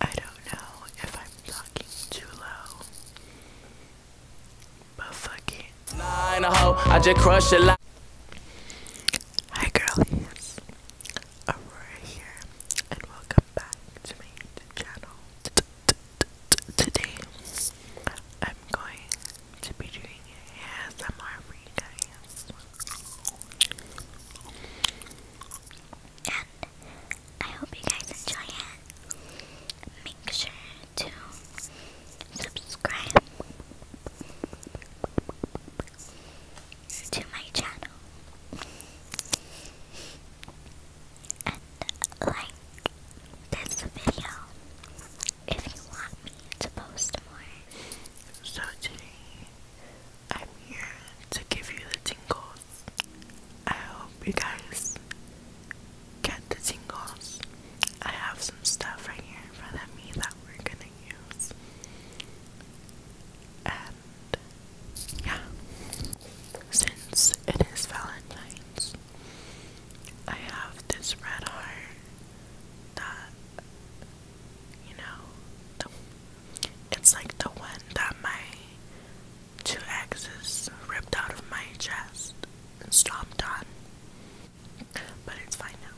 I don't know if I'm talking too low, but fuck it. just crush it like. Hi, girlies. Aurora here, and welcome back to my channel. Today, I'm going to be doing ASMR for you guys. And I hope you guys enjoy it. Make sure to subscribe to my channel and like this video if you want me to post more. So today I'm here to give you the tingles. I hope you guys get the tingles. I have some stuff right here in front of me that we're gonna use. And yeah, since it is Valentine's, I have this red heart that you know, it's like the one that my two axes ripped out of my chest and stomped on. But it's fine now.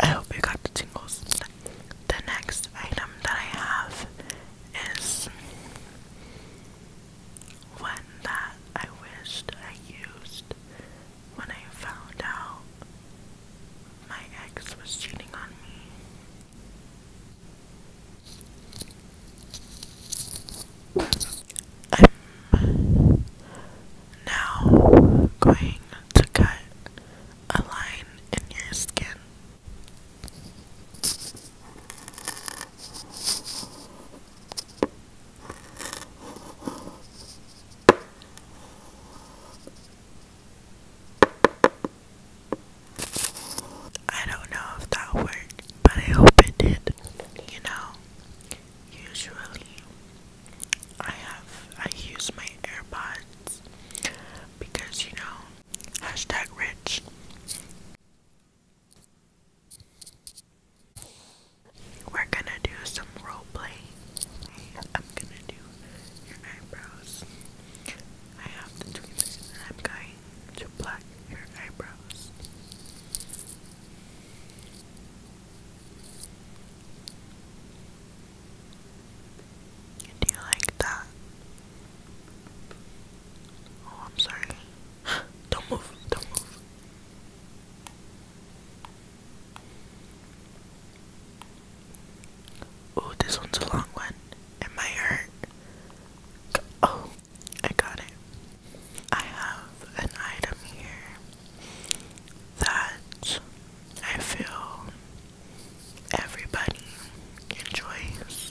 I hope you got the tingles. The next item that I have is one that I wished I used when I found out my ex was cheating on me. I'm now going to cut a line in your skin I don't know if that worked, but I hope it did. You know, usually I have I use my AirPods because you know, hashtag rich. We're gonna do some role I'm gonna do your eyebrows. I have the tweezers I'm going to pluck your eyebrows. Do you like that? Oh, I'm sorry. don't move, don't move. Oh, this one's a long one. It might hurt. Oh, I got it. I have an item here that I feel everybody enjoys.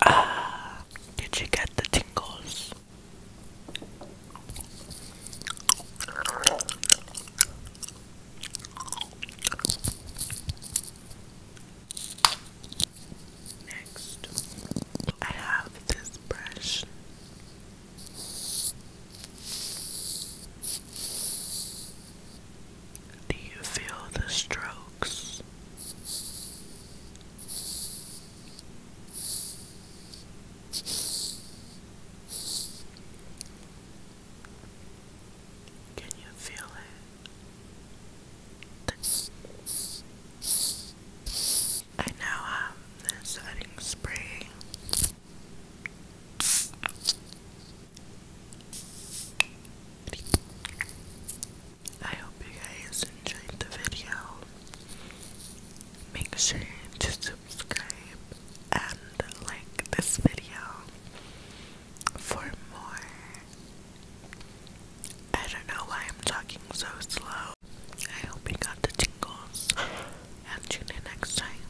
Ah, did you get the tingles? Next, I have this brush. Do you feel the strokes? Can you feel it? I now have the setting spray. I hope you guys enjoyed the video. Make sure to subscribe and like this video for more. I don't know why I'm talking so slow. I hope you got the tingles and tune in next time.